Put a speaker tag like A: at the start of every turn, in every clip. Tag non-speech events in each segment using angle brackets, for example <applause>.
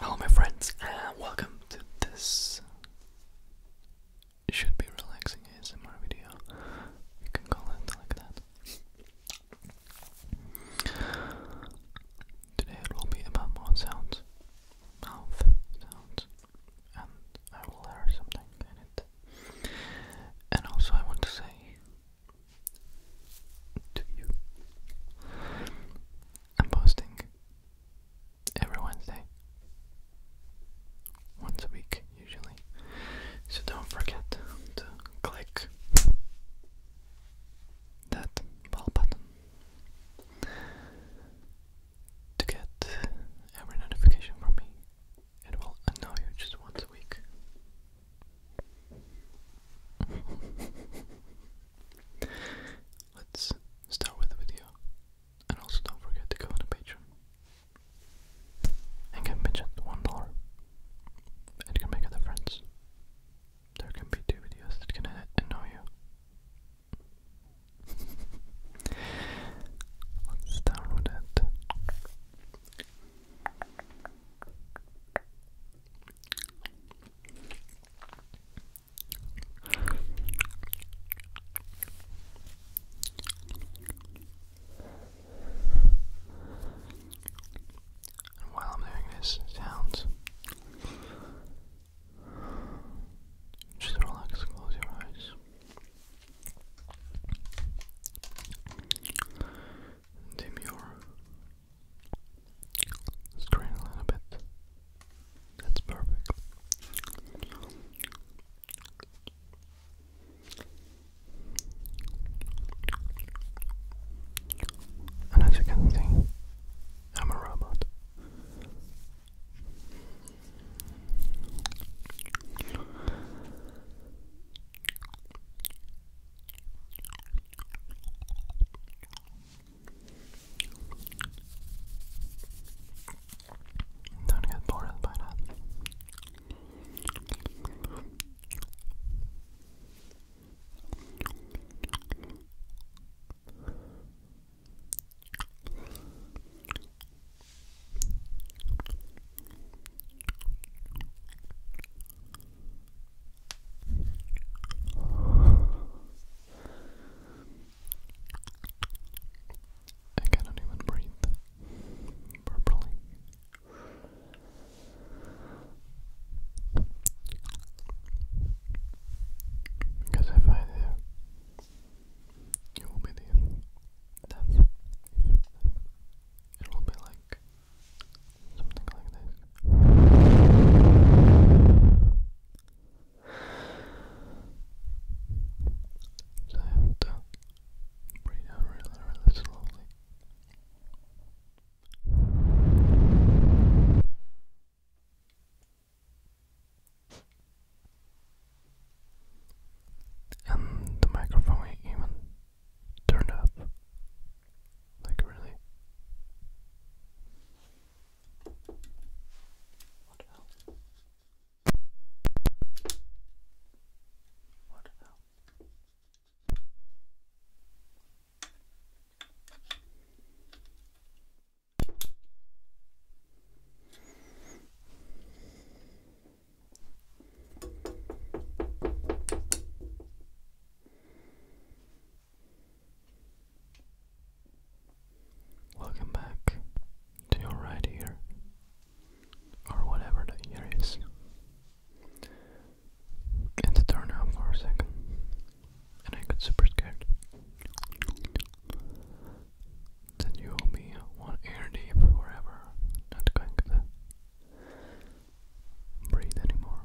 A: Hello, my friends, and welcome to this. should be relaxing ASMR video. You can call it like that. Today it will be about mouth sounds, mouth sounds, and I will learn something in it. And also, I want to say to you, I'm posting every Wednesday, once a week usually. So don't forget to click that bell button to get every notification from me.
B: It will annoy you just once a week. <laughs> Let's start with the video. And also don't forget to go on a Patreon. And get pitch one dollar. It can make a difference. There can be two videos that can annoy you. Let's start it. And while I'm doing this sounds, just relax, close your eyes. Dim your screen a little bit. That's perfect. And as you can see, I'm a robot. Don't get bored by that. I cannot even breathe properly. Because if I do, you will be the death. It will be like something like this. So I have to breathe really, really slowly. And the microphone even turned up. Like, really? What the hell? What the hell? Welcome back to your right ear, or whatever the ear is. It's turn off for a second and I got super scared. Then you will be one ear deep forever, not going to breathe anymore.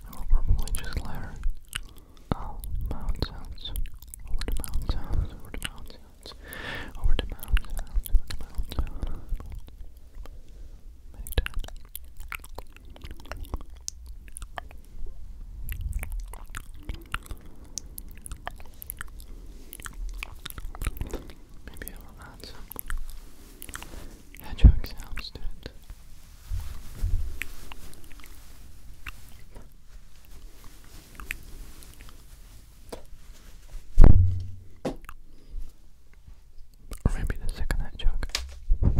B: I will probably just let Oh, mountains, over the mountains, over the mountains, over the mountains, over the mountains. Maybe I will add some hedgehog to it. Or maybe the second head joke. Or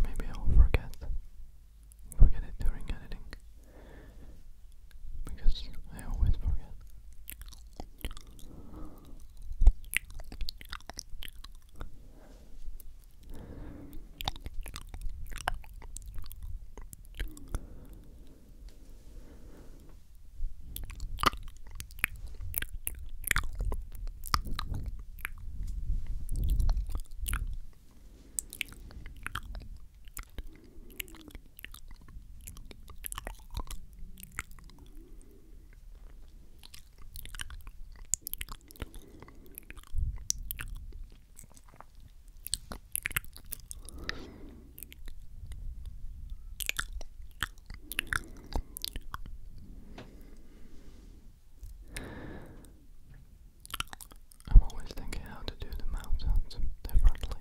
B: maybe I'll forget. Forget it during editing because I always forget. I'm always thinking how to do the mountains differently.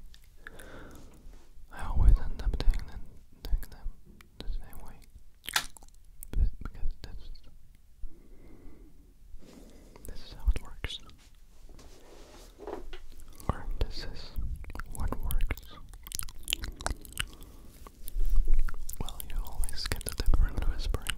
B: I always end up doing them, the same way, because this is how it works, or this is what works. Well, you always get the different whispering.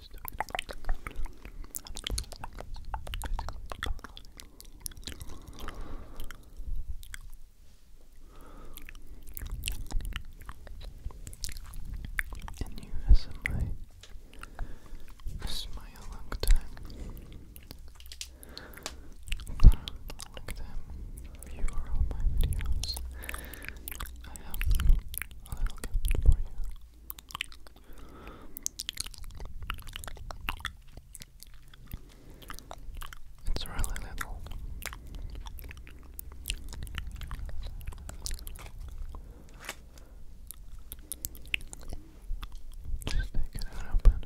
B: was And you as my smile a long time. a long time you are my videos. I have a little gift for you. It's really little. Just take it out and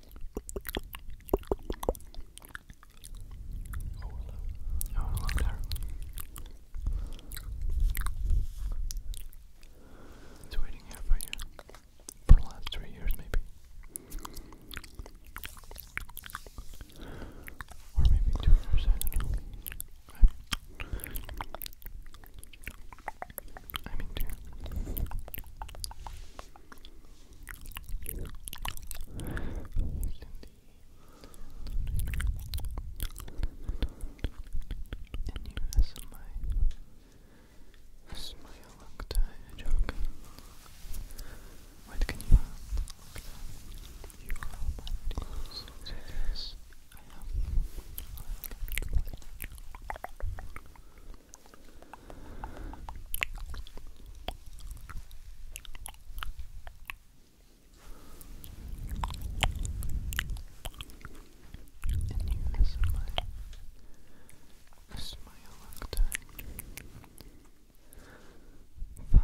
B: hello. It's waiting here for you. For the last three years, maybe. Or maybe two years, that's my that's my look joke. What can you You are all my dreams. Yes, I have. I have this is my, this is my lockdown. Fun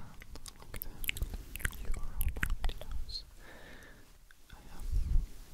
B: lockdown. You are all my videos. I have a little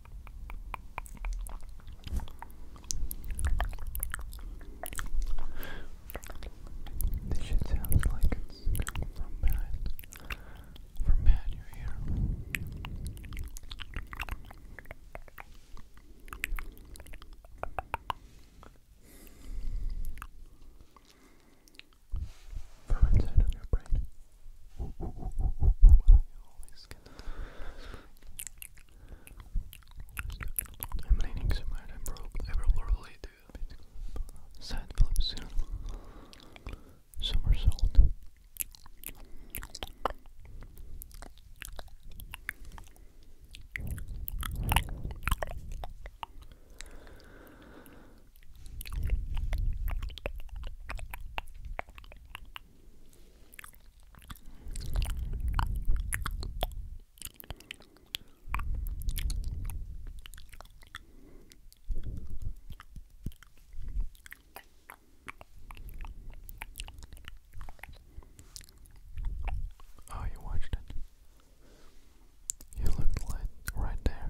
B: This shit sounds like it's from behind, from inside your brain. I'm leaning so much, I probably do a side flip soon. Somersault. Oh, you watched it. You looked right there.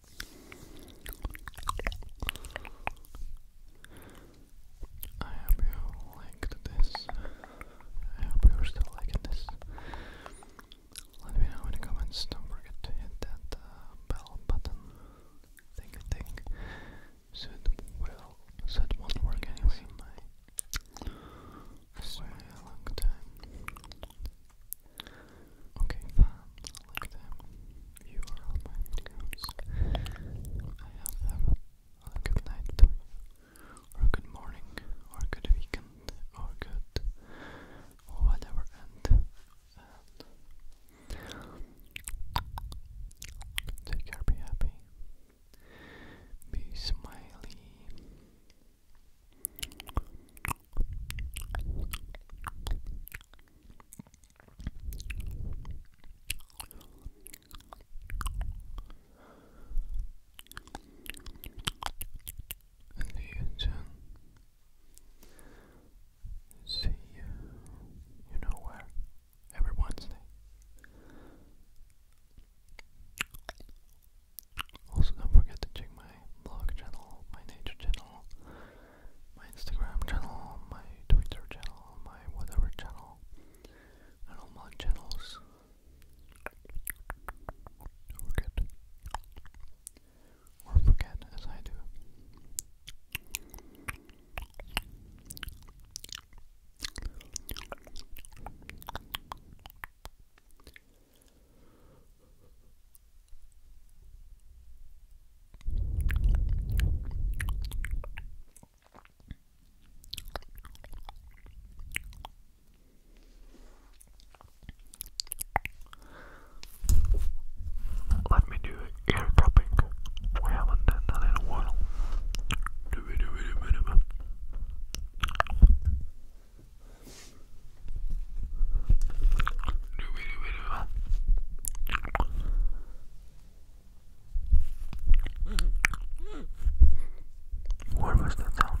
B: I hope you liked this. I hope you're still liking this. Let me know in the comments. Don't forget to hit that uh, bell button. Think I think. will. So won't work anyway. My, this long time. Okay, fine. You are all my videos. I have to a, good night or a good morning, or a good weekend, or good whatever. And, take care, be happy, be smiley and you can see you, know where, every Wednesday. Also, don't forget to check my blog channel, my nature channel, my Instagram channel, my Twitter channel, my whatever channel, all my channels. forget. Or forget as I do. Let me do ear cupping. We haven't done that in a while. Do we do it a minimum? Where was that sound?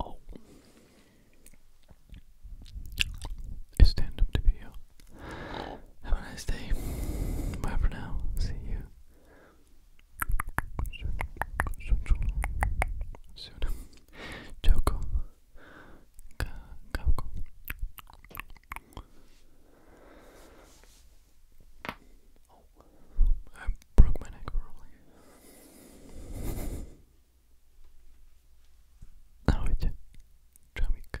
B: Oh, it's the end of Have a nice day. Bye for now. See you soon. Soon. Joko. Oh, I broke my neck rolling. Now it's Jamik.